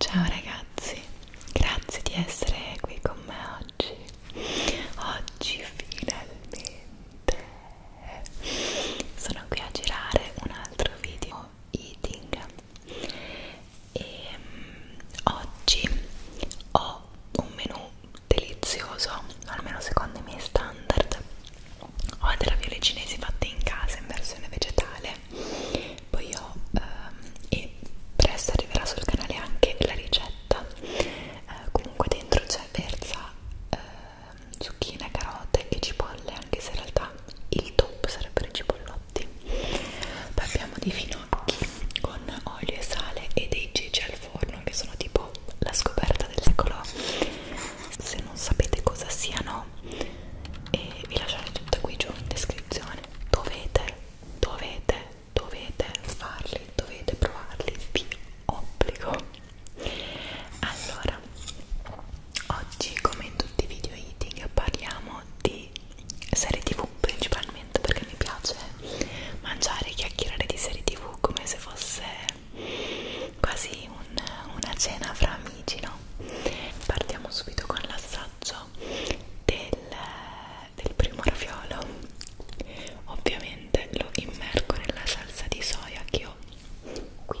Ciao ragazzi, grazie di essere qui con me oggi. Oggi finalmente sono qui a girare un altro video eating e ehm, oggi ho un menù delizioso, almeno secondo i miei standard ho dei ravioli cinesi fatti in casa in versione vegetale poi ho ehm, e presto arriverà sul canale anche la ricetta eh, comunque dentro c'è verza eh, zucchine, carote e cipolle anche se in realtà il top sarebbero i cipollotti poi abbiamo dei finocchi con olio e sale e dei ceci al forno che sono tipo la scoperta del secolo se non sapete cosa siano e eh, vi lasciate tutto qui giù in descrizione dovete dovete dovete farli dovete provarli vi obbligo allora oggi come in tutti i video eating parliamo di di serie tv principalmente perché mi piace mangiare e chiacchierare di serie tv come se fosse quasi un, una cena fra amici, no? Partiamo subito con l'assaggio del, del primo raviolo. Ovviamente lo immergo nella salsa di soia che ho qui.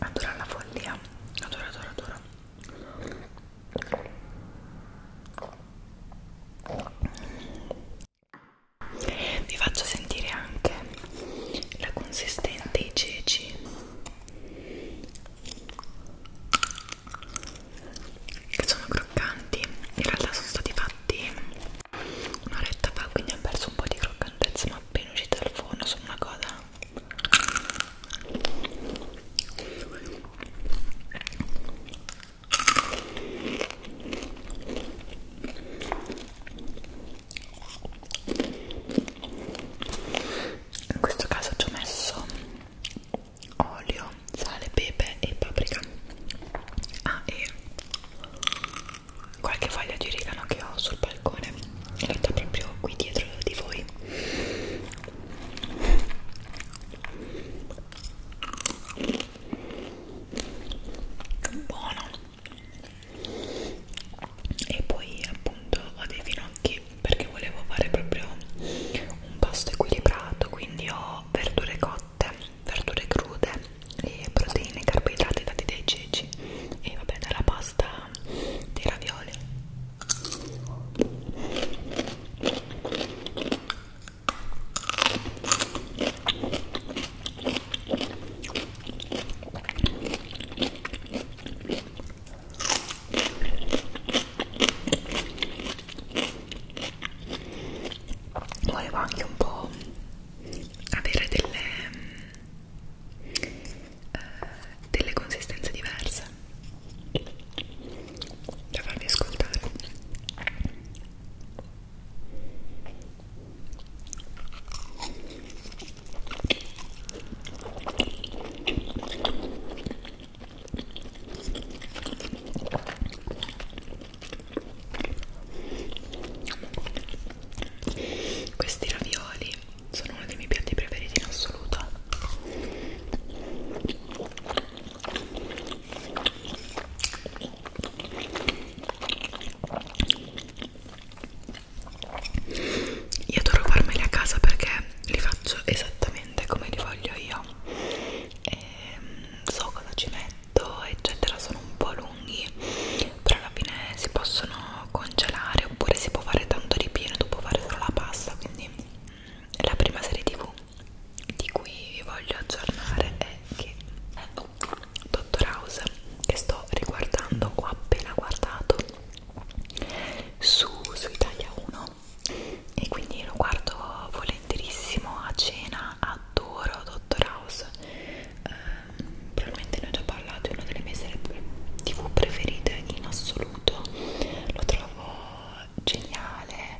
Adoro la follia, adoro, adoro, adoro. Vi faccio sentire anche la consistenza dei ceci che sono croccanti in realtà sono stati fatti un'oretta fa quindi ho perso un po' di croccantezza ma appena uscita dal forno sono una cosa in questo caso ci ho messo olio, sale, pepe e paprika ah e qualche foglia di origano che ho sul balcone in realtà proprio qui dietro di voi buono e poi appunto ho dei finocchi perché volevo fare proprio un pasto equilibrato quindi ho verdure latte, verdure crude, e proteine, carboidrati dati dai ceci e vabbè dalla pasta dei ravioli volevo anche un po' avere delle, eh, delle consistenze diverse da farvi ascoltare questi ravioli sono uno dei miei piatti preferiti in assoluto. Io adoro farmeli a casa perché li faccio esattamente come li voglio io e ehm, so cosa ci metto eccetera sono un po' lunghi però alla fine si possono congelare oppure si può fare tanto ripieno dopo fare solo la pasta quindi mm, la prima serie tv di cui vi voglio aggiornare è che eh, oh, Dottor House che sto riguardando ho appena guardato su, su Italia 1 e quindi lo guardo volentierissimo a cena adoro Dottor House eh, probabilmente ne ho già parlato è una delle mie serie tv preferite in assoluto lo trovo geniale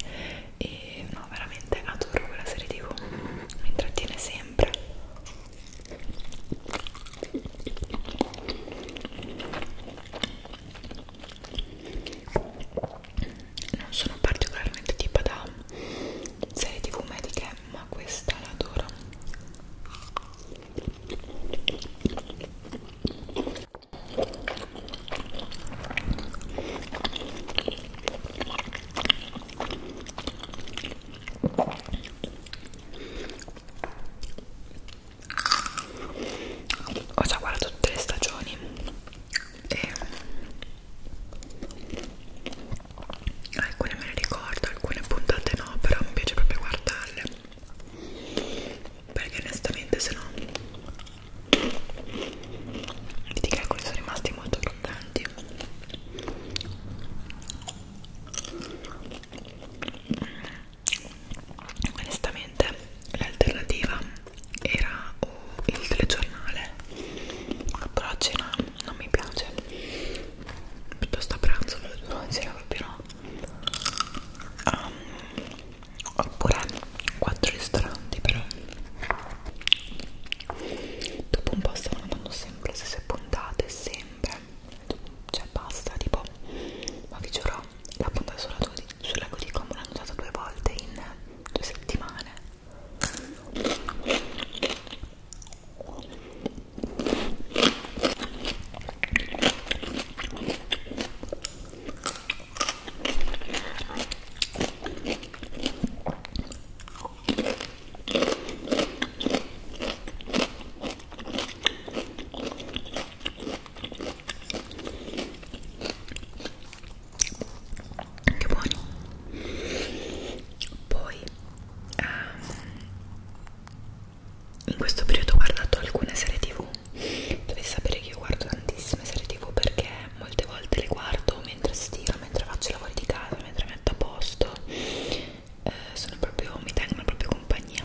e no veramente adoro quella serie tv mi intrattiene sempre non sono particolarmente tipo da serie tv mediche ma questa la adoro ho già guardato tutte le stagioni e alcune me le ricordo, alcune puntate no, però mi piace proprio guardarle perché onestamente se no vedi che alcuni sono rimasti molto croccanti onestamente l'alternativa era o il telegiornale però a cena non mi piace piuttosto a pranzo non ce la proprio no um, oppure quattro ristoranti però dopo un po' stavano andando sempre se si puntate sempre cioè basta tipo ma vi giuro la puntata sola 12 sul lago di Como l'ho annusato due volte in due settimane che buoni poi um, in questo periodo ho guardato alcune serie tv dovete sapere che io guardo tantissime serie tv perché molte volte le guardo mentre stiro mentre faccio i lavori di casa mentre metto a posto eh, sono proprio mi tengono proprio compagnia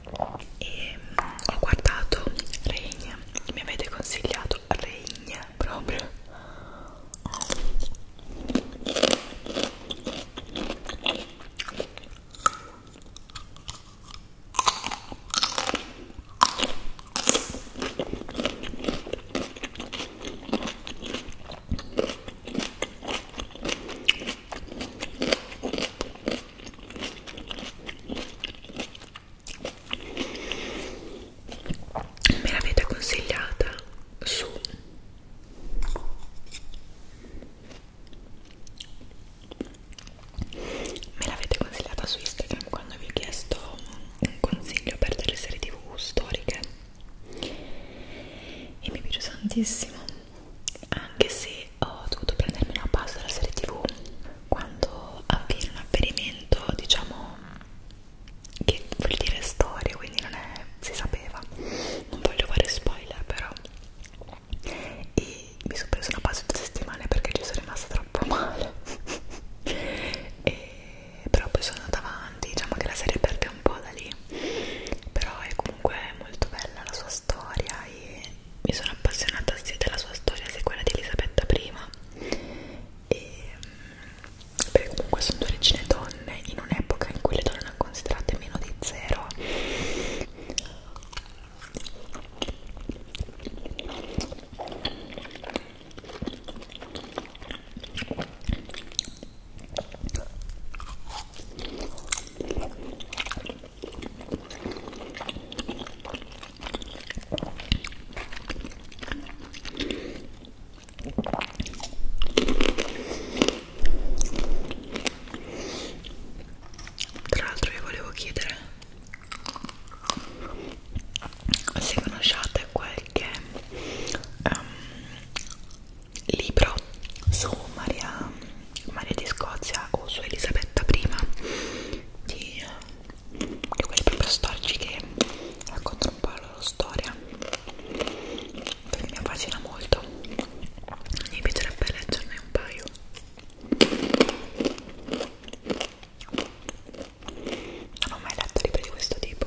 e mm, ho guardato Regna mi avete consigliato Regna proprio me l'avete consigliata su me l'avete consigliata su Instagram quando vi ho chiesto un consiglio per delle serie tv storiche e mi piace tantissimo anche se ho dovuto prendermi una pausa dalla serie tv quando avviene un avvenimento diciamo che vuol dire storia quindi non è si sapeva non voglio fare spoiler però e mi sono presa una pausa di due settimane perché ci sono rimasta troppo male e, però poi sono andata avanti diciamo che la serie perde un po' da lì però è comunque molto bella la sua storia e mi sono appassionata sia della sua storia sia quella di Elisabetta I e, mm, perché comunque sono due regine donne in un'epoca in cui le donne erano considerate meno di zero tra l'altro vi volevo chiedere se conosciate qualche um, libro su Maria, Maria di Scozia o su Elisabetta I di di quelli proprio storici che raccontano un po' la loro storia perché mi affascina molto mi piacerebbe leggerne un paio non ho mai letto libri di questo tipo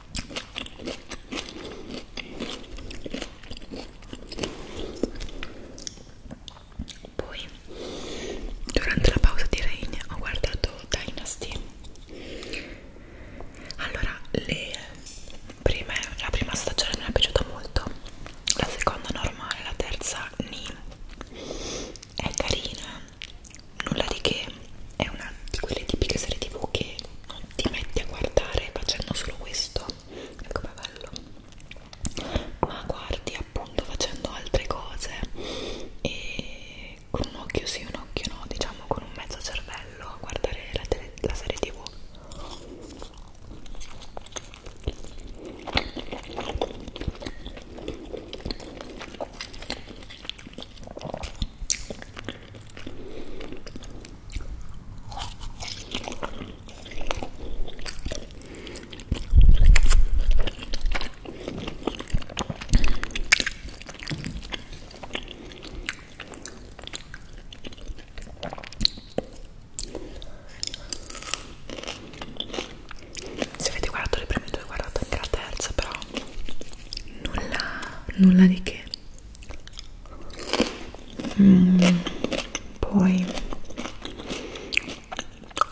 Poi durante la pausa di Rain ho guardato Dynasty. Allora, le prime, la prima stagione mi è piaciuta molto, la seconda normale, la terza ni. È carina, nulla di che è una di quelle tipiche serie tv che non ti metti a guardare facendo solo questo ecco è bello ma guardi appunto facendo altre cose e con un occhio sì un occhio no diciamo con un mezzo cervello a guardare la, tele, la serie tv se avete guardato le prime due, guardate anche la terza, però nulla, nulla di che mm, poi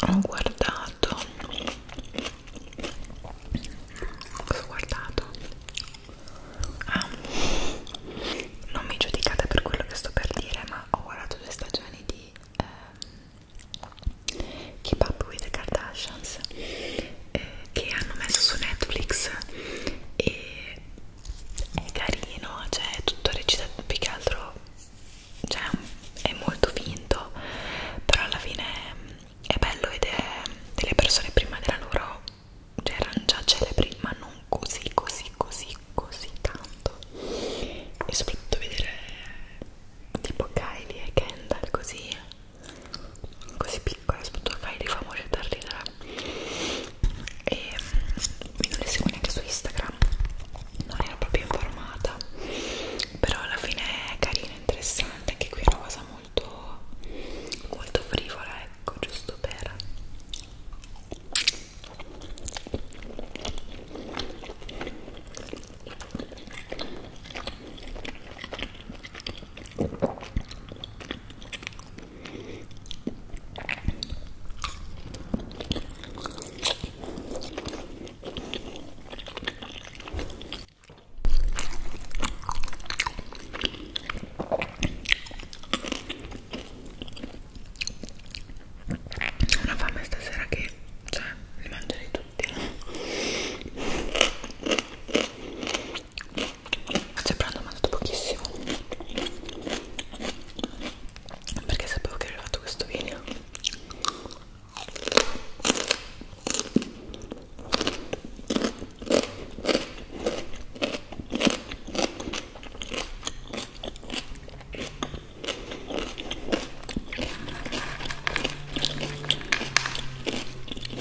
ho guardato cosa ho guardato? ah non mi giudicate per quello che sto per dire ma ho guardato due stagioni di eh, Keep Up with the Kardashians eh, che hanno messo su Netflix e è carino, cioè è tutto recitato più che altro cioè è molto finto però alla fine mm, è bello ed è delle persone prima della loro cioè erano già celebri ma non così così così così tanto e soprattutto vedere tipo Kylie e Kendall così così piccola soprattutto fai dei famosi da ridere e mm, mi non le seguo neanche su Instagram non ero proprio informata però alla fine è carina, interessante anche qui è una cosa molto molto frivola ecco, giusto per una fame stasera che, cioè, li mangerei tutti sembrando ho mandato pochissimo perché sapevo che avrei fatto questo video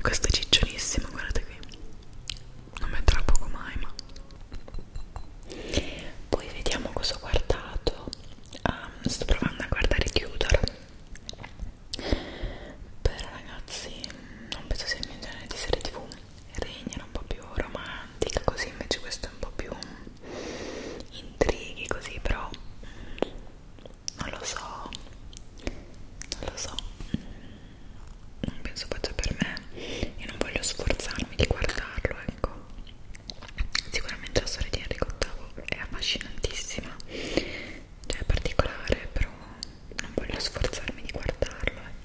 questo è ciccionissimo guardate qui non metterà poco mai ma poi vediamo cosa ho guardato um, sto provando a guardare Tudor però ragazzi non penso sia il mio genere di serie tv regnano un po' più romantica così invece questo è un po' più intrighi così però mm, non lo so non lo so mm, non penso faccia per me e non voglio sforzarmi di guardarlo ecco sicuramente la storia di Enrico VIII è affascinantissima cioè è particolare però non voglio sforzarmi di guardarlo ecco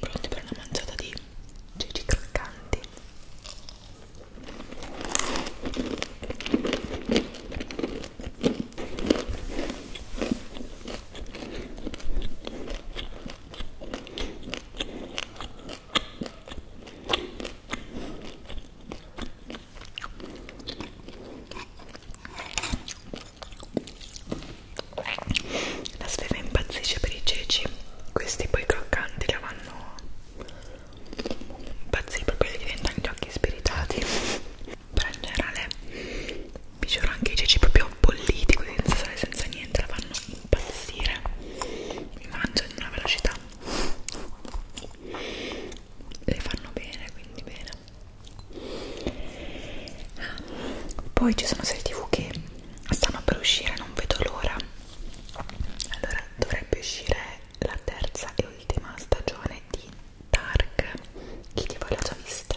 Pronti per una mangiata di gigi croccanti? La sveva impazzisce per i ceci, questi poi croccanti la vanno impazziti, proprio diventano gli occhi spiritati. Però in generale vi giuro anche i ceci proprio bolliti, così senza sale, senza niente, la fanno impazzire. Mi mangio in una velocità le fanno bene quindi bene ah, poi ci sono serie tv che stanno per uscire non vedo l'ora allora dovrebbe uscire la terza e ultima stagione di Dark chi di voi l'ha già vista?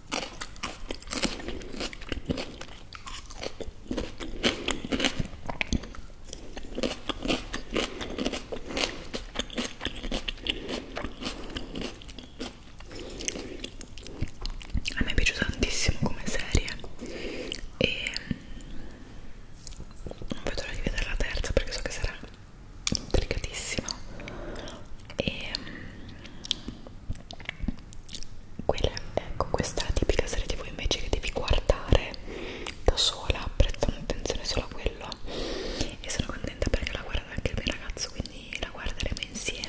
A me è piaciuta tantissimo come serie e non mm, vedo l'ora di vedere la terza perché so che sarà intrigatissima e mm, quella, ecco questa è la tipica serie tv invece che devi guardare da sola prestando attenzione solo a quello e sono contenta perché la guarda anche il mio ragazzo quindi la guarderemo insieme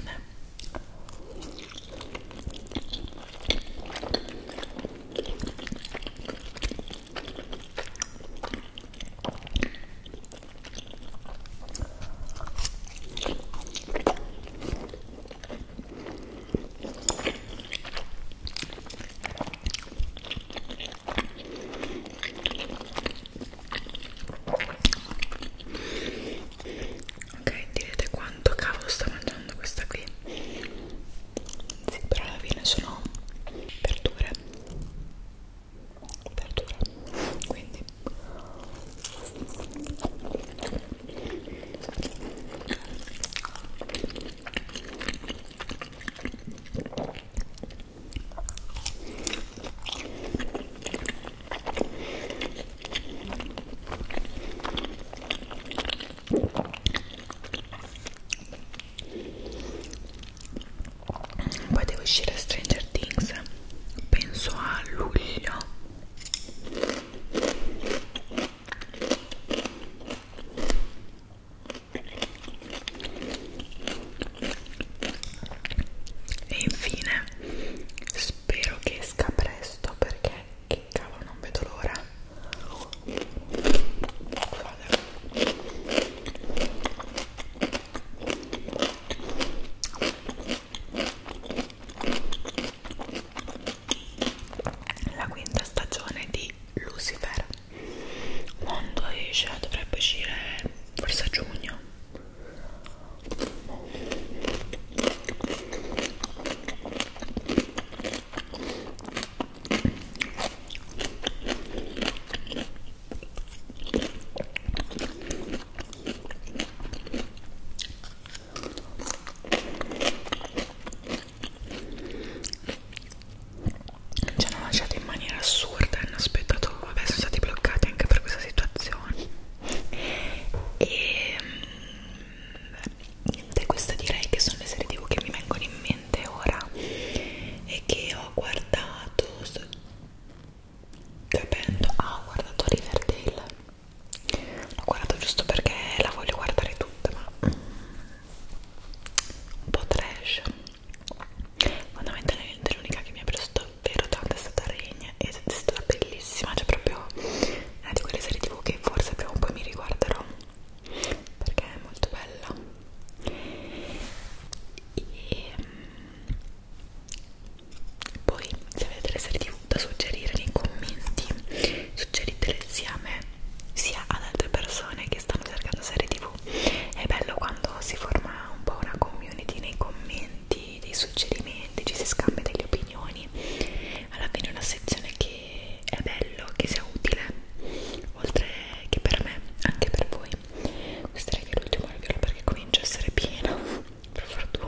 Ok, direte quanto cavolo sta mangiando questa qui? Sì, però alla fine sono verdure verdure quindi poi devo uscire a Stranger Things penso a luglio e infine spero che esca presto perché che cavolo non vedo l'ora. Vale la quinta stagione di Lucifer quando esce dovrebbe uscire forse a giugno ci hanno lasciato in maniera assurda hanno aspettato vabbè sono stati bloccati anche per questa situazione e mm, niente queste direi che sono le serie tv che mi vengono in mente ora e che ho guardato capendo ah ho guardato Riverdale l'ho guardato giusto perché la voglio guardare tutta ma mm, un po' trash fondamentalmente l'unica che mi ha preso davvero tanto è stata Regna ed è stata bellissima cioè proprio una di quelle serie tv che forse prima o poi mi riguarderò perché è molto bella e mm, poi se avete delle serie tv da suggerire nei commenti suggeritele sia a me sia ad altre persone che stanno cercando serie tv è bello quando si forma un po' una community nei commenti dei suggerimenti ci si scambia delle opinioni alla fine è una sezione che è bello che sia utile oltre che per me anche per voi questo è l'ultimo video perché comincia a essere pieno per fortuna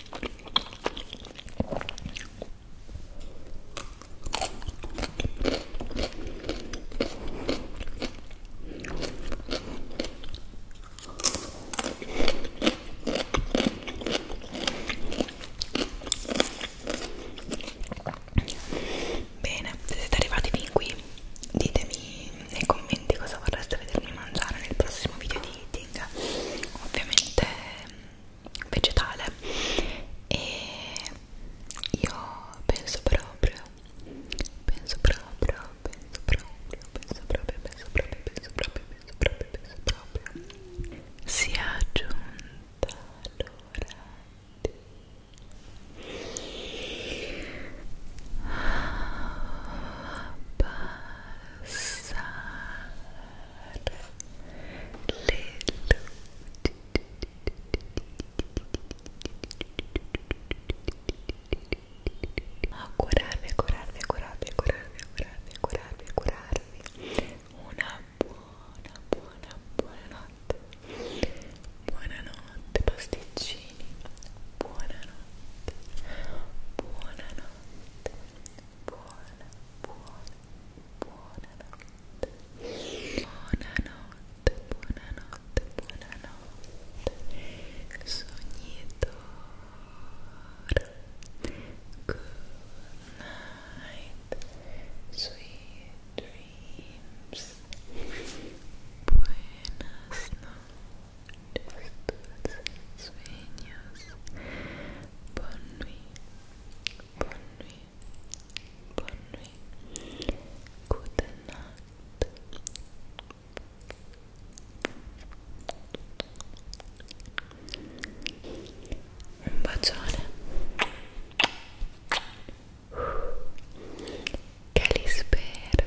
Bene, se siete arrivati fin qui, ditemi nei commenti cosa vorreste vedermi mangiare nel prossimo video di, di marketing ovviamente vegetale e io penso proprio penso proprio penso proprio penso proprio penso proprio penso proprio penso proprio penso proprio si è aggiunta l'ora di parlare abbassare le luci augurarvi, augurarvi, augurarvi, augurarvi, augurarvi, augurarvi, augurarvi una buona, buona, buona notte buonanotte pasticcini buonanotte buonanotte buona, buona, buonanotte buonanotte, buonanotte, buonanotte sognitore good night sweet dreams buenas tus sueños. Bonne nuit, bonne nuit, bonne nuit. Good night. Un bacione. Calisper.